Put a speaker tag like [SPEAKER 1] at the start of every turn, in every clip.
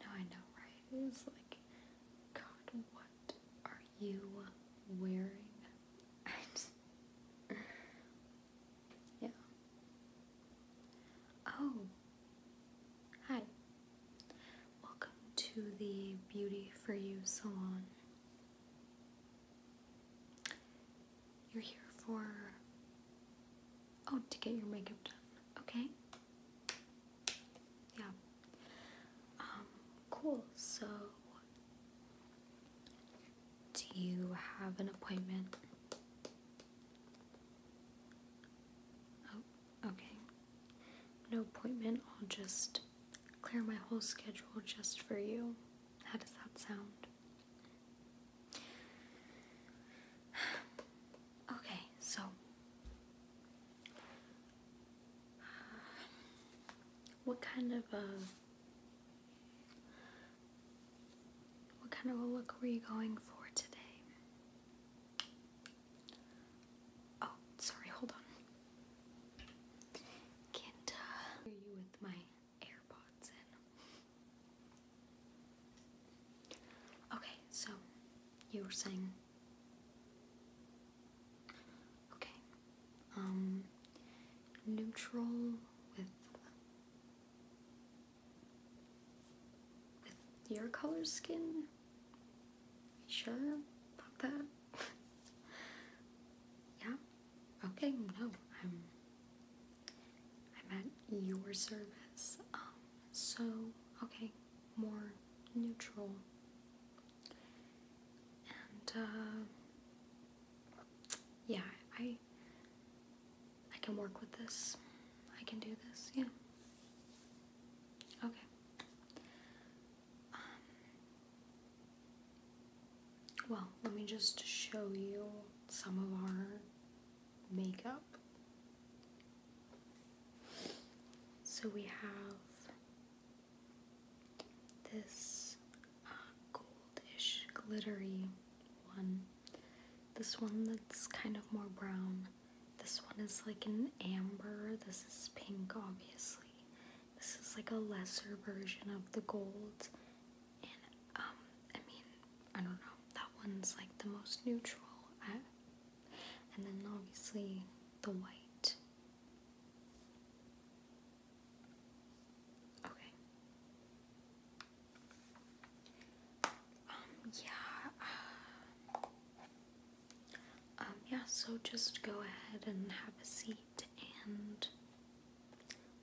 [SPEAKER 1] No, I know, right? It was like, God, what are you wearing? Yeah. Oh! Hi. Welcome to the Beauty for You salon. You're here for. Oh, to get your makeup done. Okay? Yeah. Um, cool. So, do you have an appointment? Oh, okay. No appointment. I'll just clear my whole schedule just for you. How does that sound? Okay, so what kind of uh, what kind of a look were you going for today? Oh, sorry, hold on. Can't uh, you with my AirPods Okay, so you were saying. Okay. Um, neutral with with your color skin. Sure about that. yeah. Okay, no, I'm I'm at your service. Um, so okay, more neutral. And uh yeah, I I can work with this. I can do this, yeah. Okay. Um, well, let me just show you some of our makeup. So we have this uh, goldish glittery one. This one that's kind of more brown. This one is like an amber. This is pink, obviously. This is like a lesser version of the gold. Um, I mean, I don't know. That one's like the most neutral. and then obviously the white. Okay. Um, yeah. Uh, um, yeah, so just go ahead and have a seat and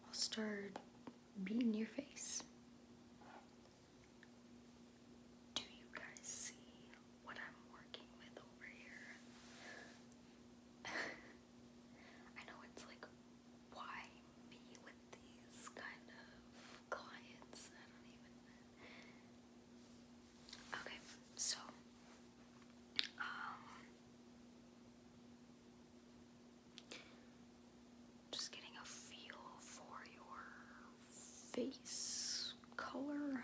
[SPEAKER 1] I'll start beating your face. Do you guys see what I'm working with over here? I know it's like, why me with these kind of clients? I don't even. Okay, so, um, just getting a feel for your face color.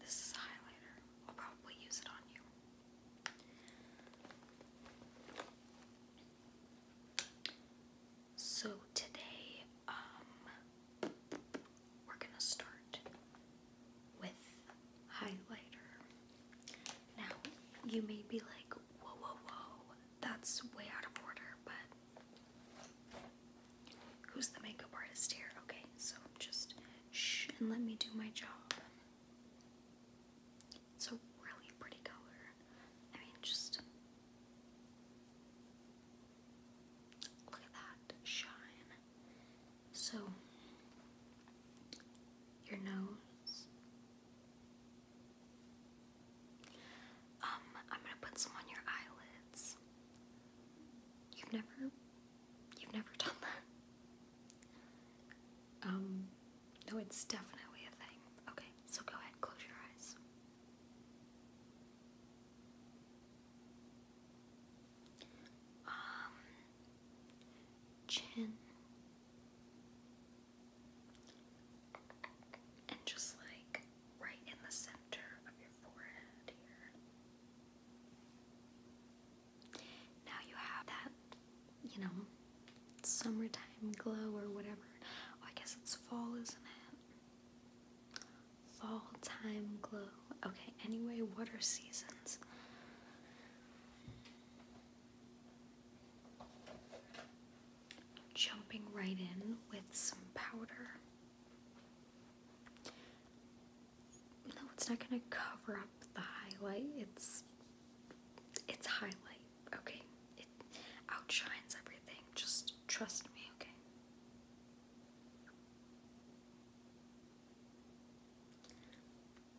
[SPEAKER 1] This is a highlighter. I'll probably use it on you. So today, um, we're going to start with highlighter. Now, you may be like, whoa, whoa, whoa, that's way out of order, but who's the makeup artist here? Okay, so just shh and let me do my job. It's a really pretty color. I mean, just Look at that shine. So, your nose. Um, I'm gonna put some on your eyelids. You've never, you've never done that. Um, no, it's definitely a thing. Okay, so go ahead, close your eyes chin, and just like right in the center of your forehead here. Now you have that, you know, summertime glow or whatever. Oh, I guess it's fall, isn't it? Fall time glow. Okay, anyway, what are seasons? Jumping right in with some powder. No, it's not gonna cover up the highlight. It's it's highlight. Okay, it outshines everything. Just trust me. Okay.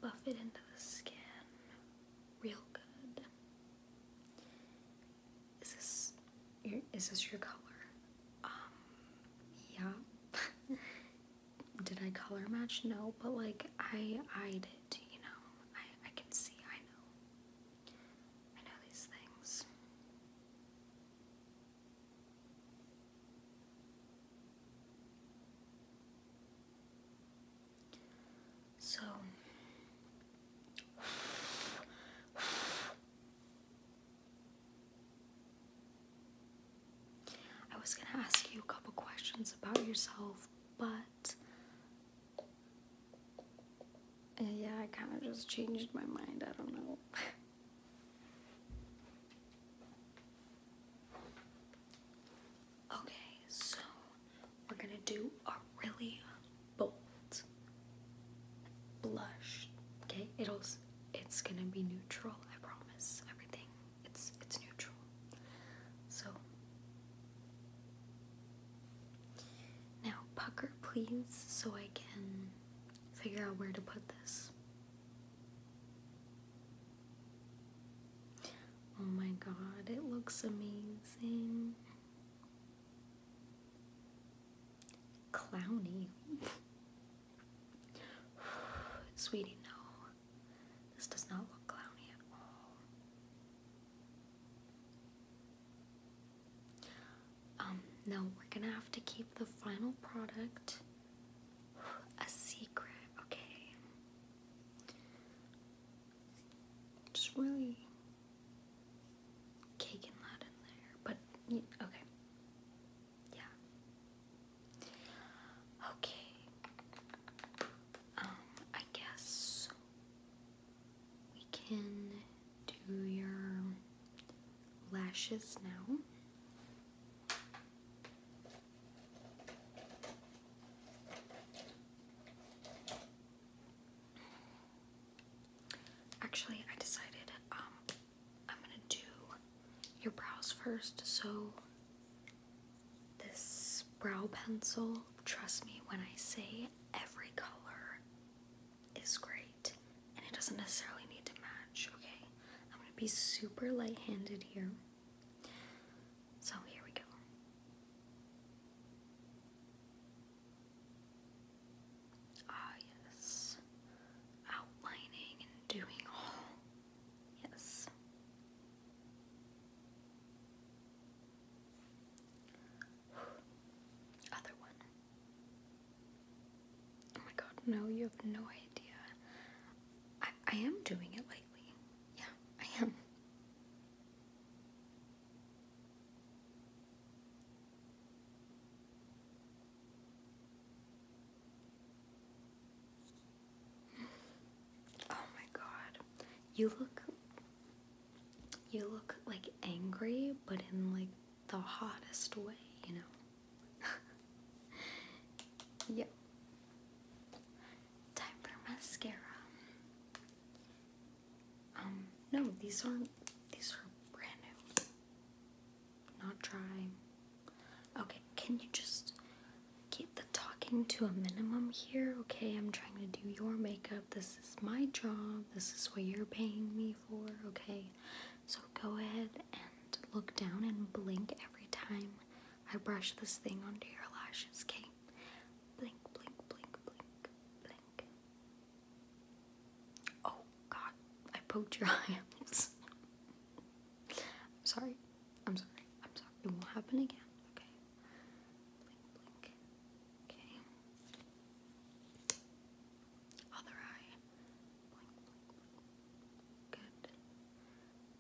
[SPEAKER 1] Buff it into the skin real good. Is this your, is this your color? Um, yeah. did I color match? No, but like I I did, you know. I I can see. I know. I know these things. So I was going to ask you a couple questions about yourself, but uh, yeah, I kind of just changed my mind. I don't know. okay, so we're gonna do a really bold blush. Okay, it'll it's gonna be neutral. I promise. Everything it's it's neutral. So now pucker, please, so I can figure out where to put this. Oh my god, it looks amazing. Clowny. Sweetie, no. This does not look clowny at all. Um, no, we're gonna have to keep the final product a secret, okay? Just really caking that in there, but okay. Yeah. Okay. Um, I guess we can do your lashes now. Actually, I decided um, I'm gonna do your brows first. So, this brow pencil, trust me when I say every color is great and it doesn't necessarily need to match, okay? I'm gonna be super light handed here. So here we go. Ah, yes. Outlining and doing all. Yes. Other one. Oh my god, no, you have no idea. I, I am doing it lately. Yeah, I am. Oh my god. You look you look like angry, but in like the hottest way, you know. yep. Time for mascara. Um, no, these aren't these are brand new. Not dry. Okay, can you just keep the talking to a minimum here? Okay, I'm trying to do your makeup. This this is my job. This is what you're paying me for, okay? So go ahead and look down and blink every time I brush this thing onto your lashes, okay? Blink, blink, blink, blink, blink. Oh god, I poked your eyes. I'm sorry. I'm sorry. I'm sorry. It won't happen again, okay? Okay. Other eye. Good.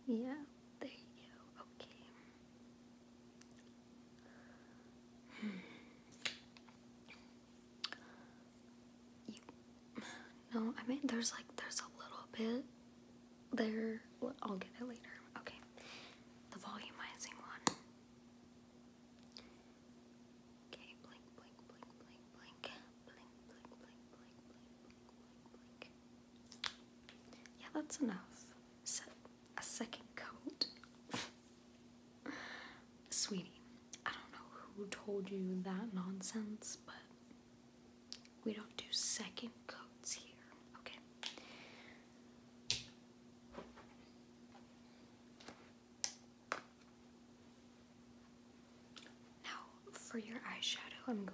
[SPEAKER 1] Yeah, there you go. Okay. Hmm. No, I mean, there's like, there's a little bit there, I'll get it later. Okay, the volumizing one. Yeah, that's enough. Set a second coat, sweetie. I don't know who told you that nonsense, but we don't do second coats here. Okay, now, for your eyeshadow, I'm going.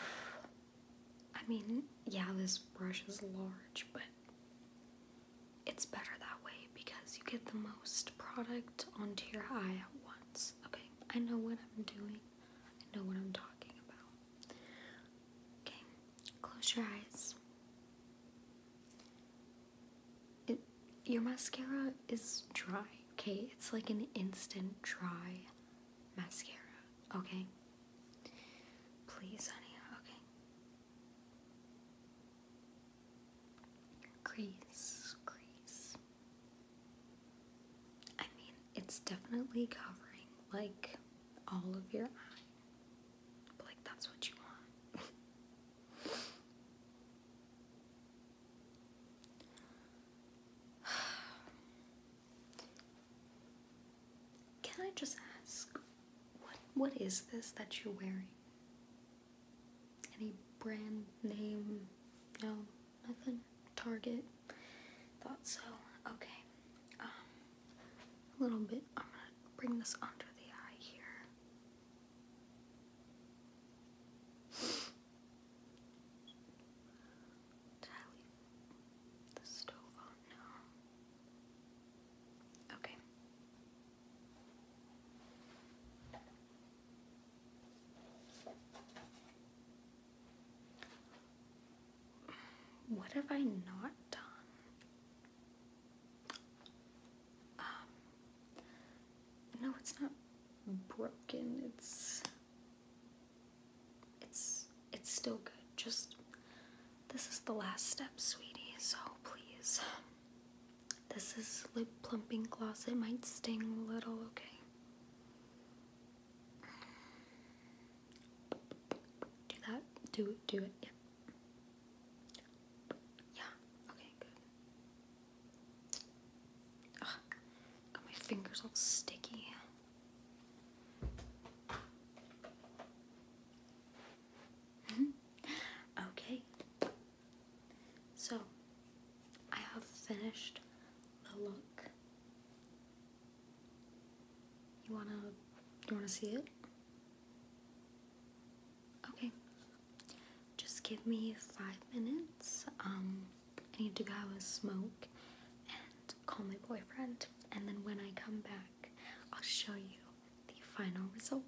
[SPEAKER 1] I mean, yeah, this brush is large, but it's better that way because you get the most product onto your eye at once. Okay, I know what I'm doing, I know what I'm talking about. Okay, close your eyes. It, your mascara is dry, okay? It's like an instant dry mascara, okay? Please, honey, okay? Crease, crease, I mean, it's definitely covering like all of your eye. like, that's what you want. Can I just ask, what what is this that you're wearing? Any brand name? No. Nothing. Target. Thought so. Okay. Um, a little bit. I'm gonna bring this under the eye here. Okay. What have I not done? Um, no, it's not broken. It's it's it's still good. Just this is the last step, sweetie. So please. This is lip plumping gloss. It might sting a little, okay? Do that. Do it. Do it. Yep. Yeah. Okay, Got my fingers all sticky. Mm-hmm. okay. So, I have finished the look. You wanna you wanna see it? Okay. Just give me five minutes. Um, I need to go have a smoke and call my boyfriend and then when I come back I'll show you the final result.